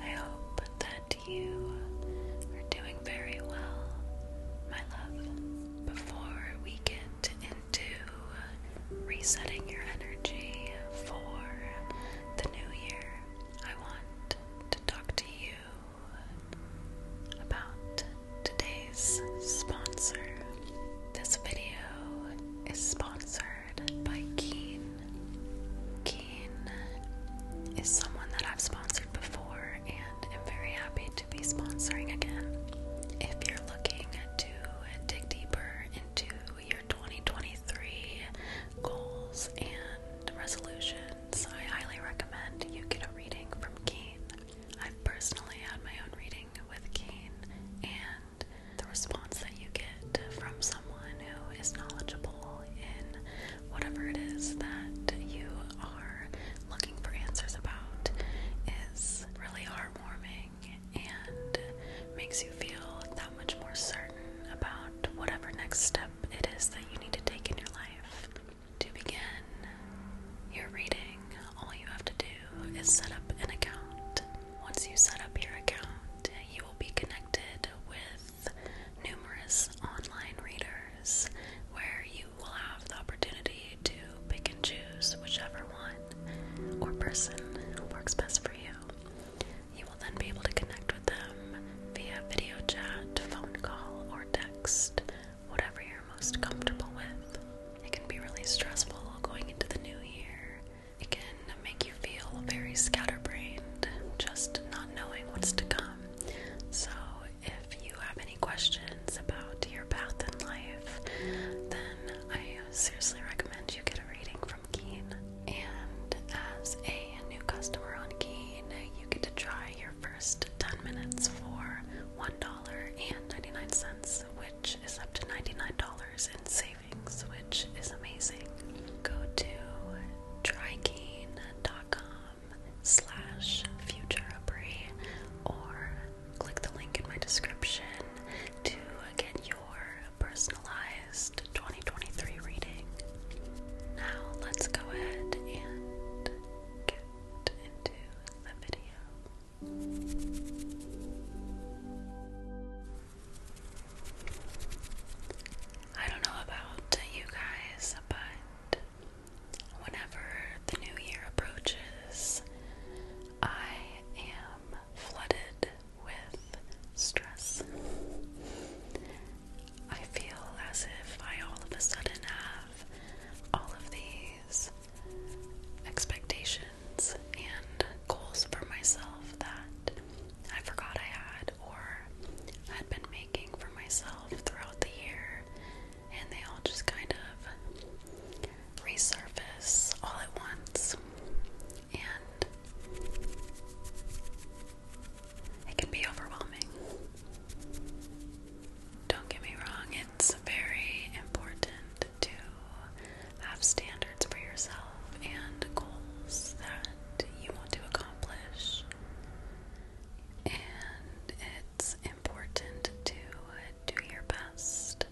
I hope that you are doing very well, my love before we get into resetting your energy for the new year, I want to talk to you about today's sponsor. This video is sponsored by Keen. Keen is someone that I've sponsored before and i am very happy to be sponsoring again. If you're looking to dig deeper into your 2023 goals and resolutions, I highly recommend you get a reading from Keen. i personally had my own reading with Keen, and the response that you get from someone who is knowledgeable in whatever it is that you are looking for answers about is really heartwarming and makes you feel that much more certain about whatever next step it is that you need to take in your life. To begin your reading, all you have to do is set up an account. Once you set up your account, you will be connected with numerous online readers where you will have the opportunity to pick and choose whichever one or person works best for you. You will then be able to connect with them via video chat, phone call, or text, whatever you're most comfortable with. It can be really stressful going into the new year. It can make you feel very scatterbrained, just not knowing what's to come. So, if you have any questions about your path in life, then I seriously recommend you get a reading from Keen. And as a new customer on Keen, you get to try your first 10 minutes for $1.99, which is up to $99 in savings, which is amazing. Go to trykeen.com slash Future Futurabry or click the link in my description to get your personalized 2023 reading. Now let's go ahead and get into the video. I don't know about you guys, but whenever the new year approaches, I am flooded with stress. I feel as if I all of a sudden have all of these expectations and goals for myself that I forgot I had wanted or had been making for myself throughout the year, and they all just kind of resurface all at once. And it can be overwhelming. Don't get me wrong, it's very important to have standards for yourself and goals that you want to accomplish and it's important to do your best,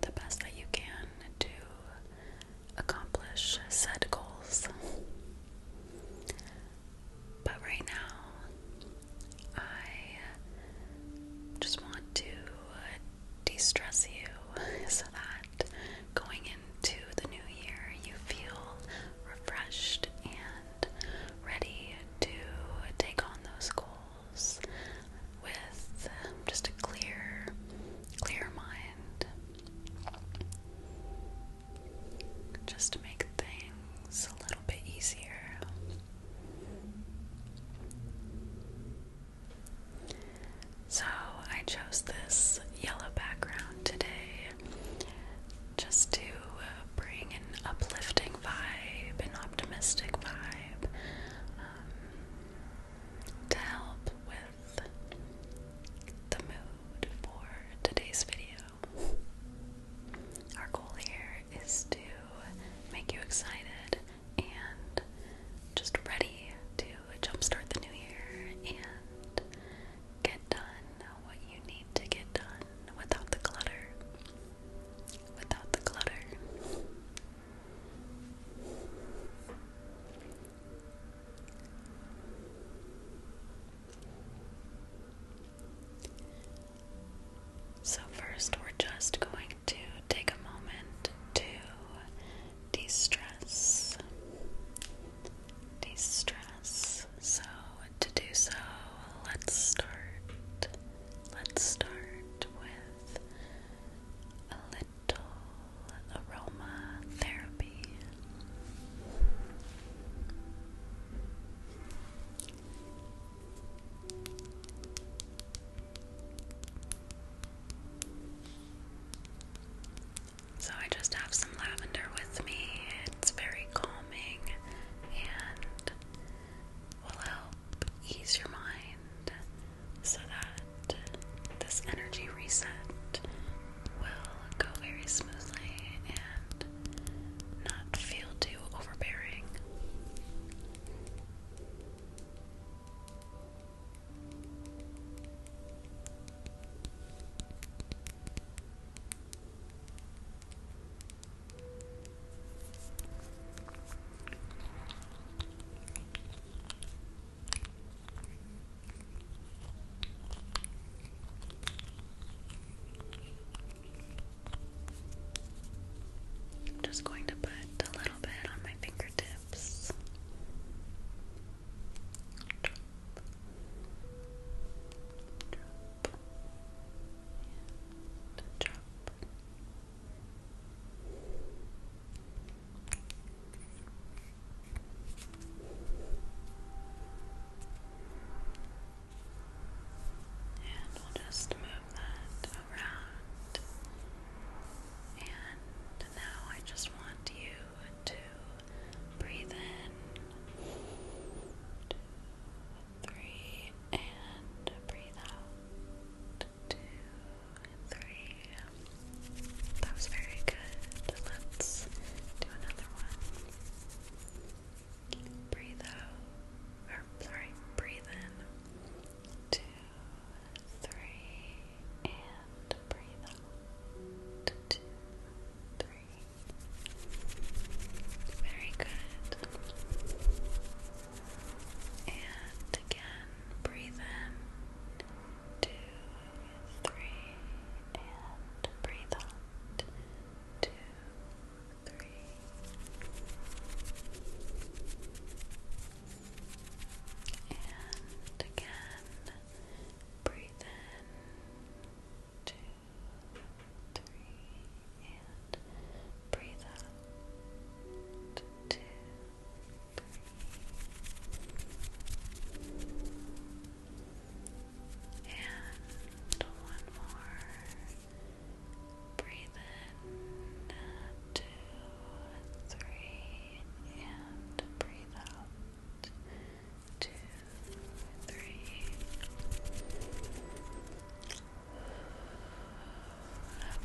the best that you can, to accomplish said goals. But right now, I just want to de stress you so that going in into the new year, you feel refreshed and ready to take on those goals with um, just a clear, clear mind. Just to make things a little bit easier. So, I chose this yellow background today just to uh, bring an uplifting vibe, an optimistic vibe, um, to help with the mood for today's video. Our goal here is to make you excited and just ready to jumpstart the new year and get done what you need to get done without the clutter. Without the clutter. So, first, we're just going to take a moment to de-stress, de-stress. So to do so, let's start. Let's start with a little aroma therapy. So I just have some lavender with me. It's very calming and will help ease your mind so that this energy reset will go very smoothly and not feel too overbearing. I'm just going to put a little bit on my fingertips drop, and drop. And we'll just move that around. And now I just want you to breathe in. three, and breathe out. Two, three. That was very good. Let's do another one. Breathe out. Or sorry, breathe in. Two, three, and breathe out. Two, three. Very good. And again, breathe in. Two, three, and breathe out. Two, three. And again, breathe in two, three, and breathe out two, three. And one more. Breathe in. Two, two, three, and breathe out. Two, three.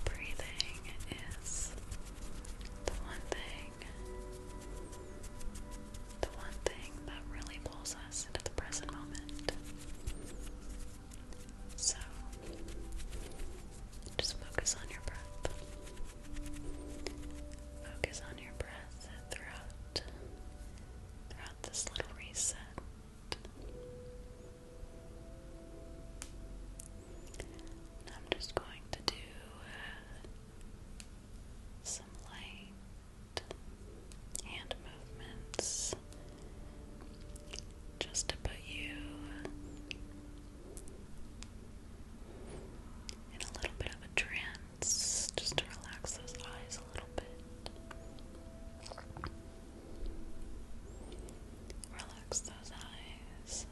Breathing is the one thing, the one thing that really pulls us into the present moment. So, just focus on your breath. Focus on your breath throughout throughout this little reset. I'm just going to do uh, some light hand movements just to put you in a little bit of a trance just to relax those eyes a little bit. Relax those eyes.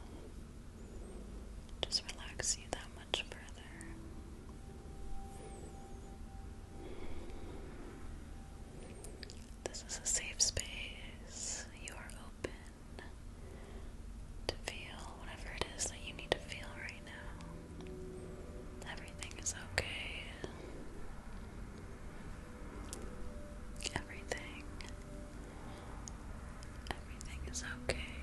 Just relax you that much further. This is a safe space. You are open to feel whatever it is that you need to feel right now. Everything is okay. Everything. Everything is okay.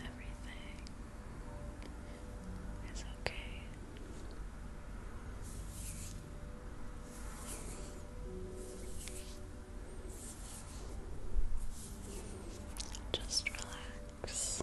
Everything. It's okay. Just relax. Just Relax. Relax.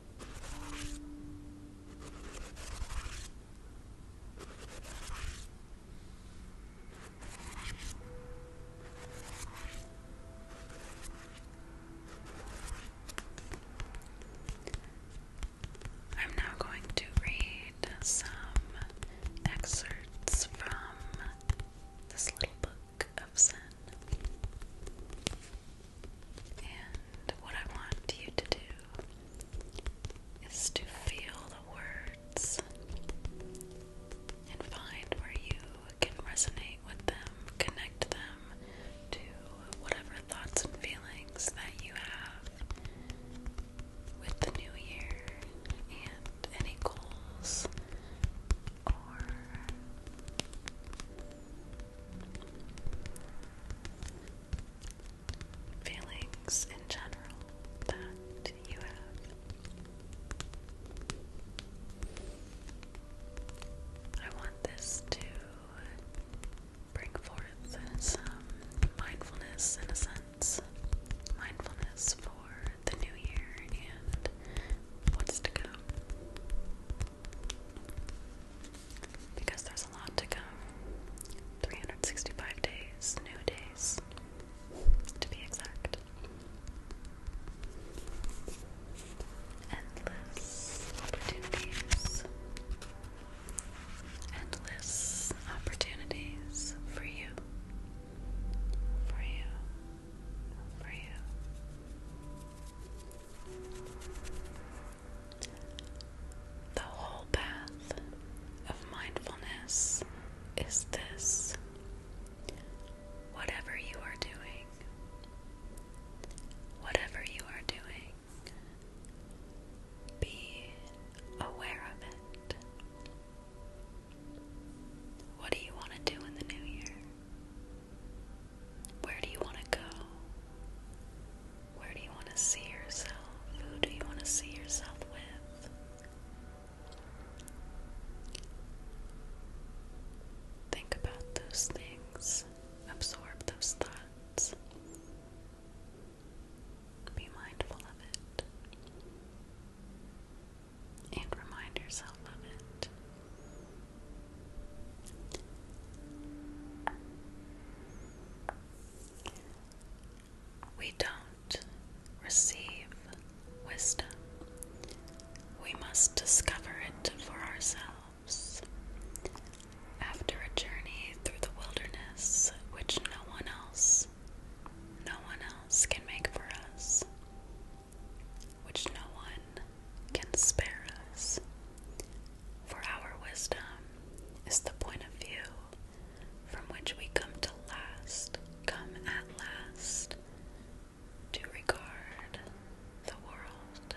I'm now going to read some excerpts from this little book of sun. And what I want you to do is to feel the words and find where you can resonate with them, connect them to whatever thoughts and feelings that you have with the new year and any goals or feelings in general that you have. I want this to bring forth some mindfulness in a sense. Mindfulness for the new year and what's to come. Because there's a lot to come 365 days, new days, to be exact. Endless opportunities. Endless opportunities for you. For you for you. The whole path of mindfulness is this. Whatever you are doing, whatever you are doing, be aware of it. What do you want to do in the new year? Where do you want to go? Where do you want to see yourself? Who do you want to see yourself with? Think about those things, absorb those thoughts, be mindful of it and remind yourself of it. We don't receive wisdom. We must discover it for ourselves. After a journey through the wilderness, which no one else, no one else can make for us, which no one can spare us. For our wisdom is the point of view from which we come to last, come at last, to regard the world.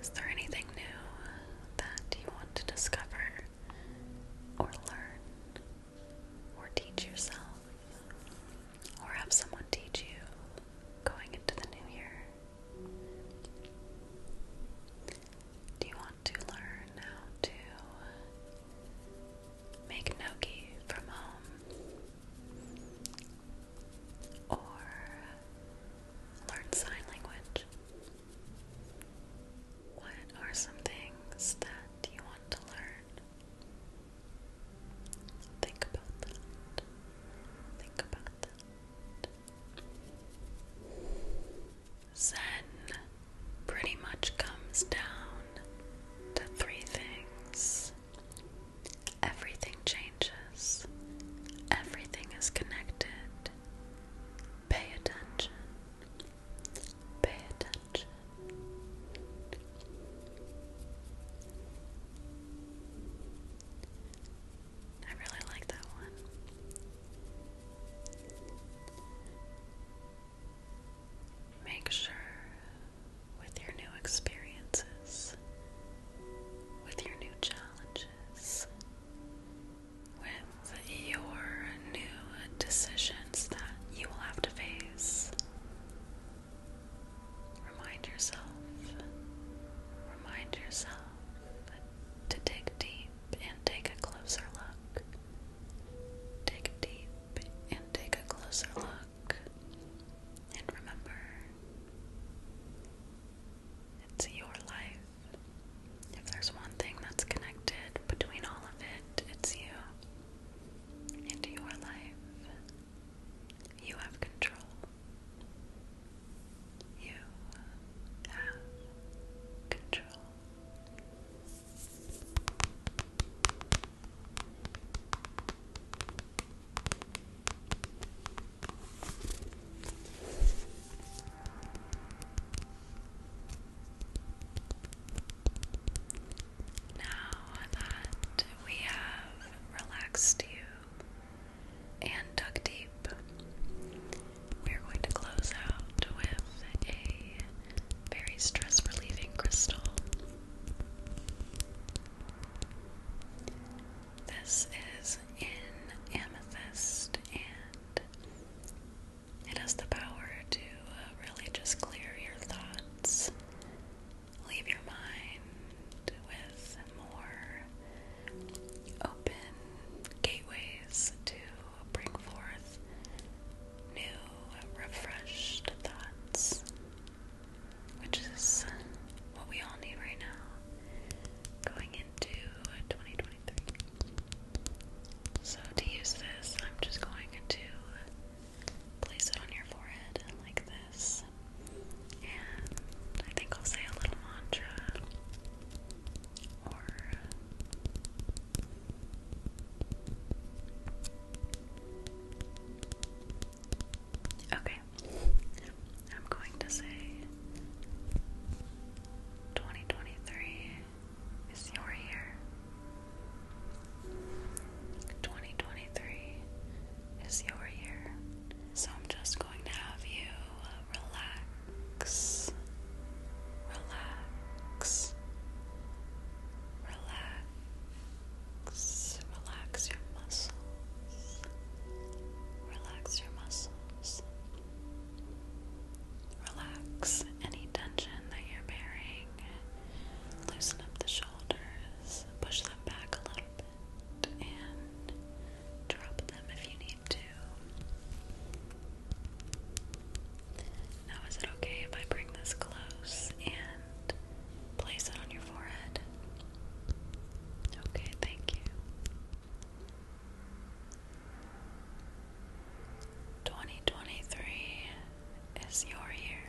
Is there anything new that you want to discover or learn or teach yourself or have someone teach you going into the new year? Do you want to learn how to make gnocchi from home? Or learn sign language? What are some things that you want to learn? Think about that. Think about that. Zen pretty much comes down to three things. Everything changes. Everything is connected. Pay attention. Pay attention. I really like that one. Make sure with your new experiences, with your new challenges, with your new decisions that you will have to face. Remind yourself, remind yourself to dig deep and take a closer look. Dig deep and take a closer look. And remember, it's your life. If there's one thing that's connected between all of it, it's you and your life. You have control. You have control. Now that we have relaxed you and dug deep, we're going to close out with a very stress relieving crystal. This is in amethyst and it has the power to uh, really just clear your thoughts, leave your mind with more open gateways to bring forth new, refreshed thoughts, which is what we all need right now. Going into twenty twenty. So to use this, I'm just going to place it on your forehead like this. And I think I'll say a little mantra Okay. I'm going to say 2023 is your year. 2023 is your year. So I'm just going to have you uh, relax, relax, relax, relax your muscles, relax your muscles. Relax any tension that you're bearing. Loosen up the shoulders, push them back a little bit, and drop them if you need to. Now, is it okay if I bring this close and place it on your forehead? Okay, thank you. 2023 is your year.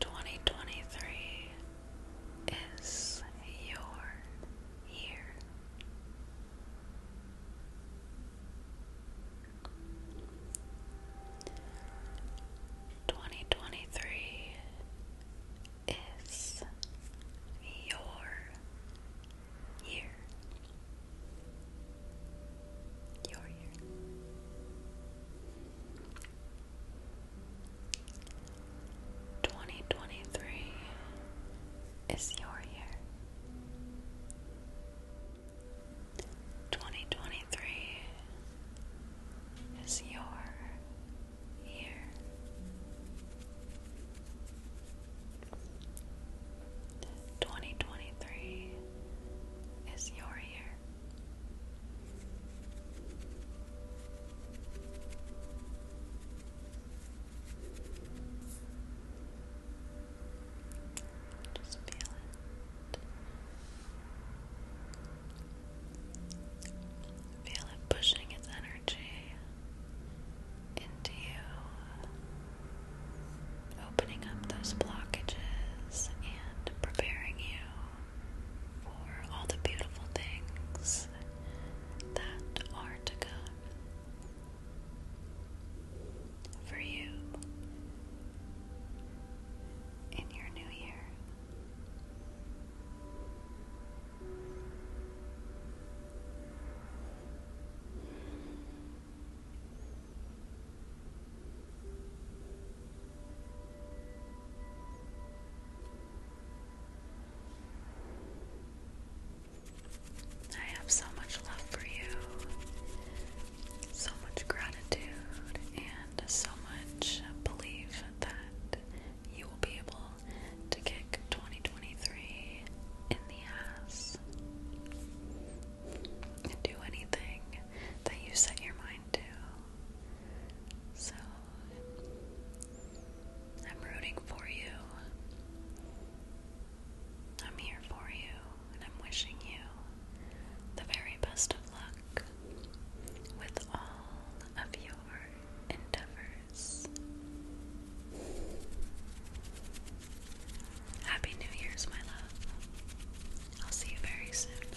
Twenty twenty three is your year. 2023 is your year. Your year. Twenty twenty three is your year. 2023 is your year. Twenty twenty three is your year. Just feel it. Feel it pushing its energy into you, opening up those blockages and preparing you for all the beautiful things that are to come for you in your new year. I have so much love for you, so much gratitude, and so much belief that you will be able to kick 2023 in the ass and do anything that you set your mind to. So, I'm rooting for you. I'm here for you and I'm wishing you the very best of luck with all of your endeavors. Happy New Year's, my love. I'll see you very soon.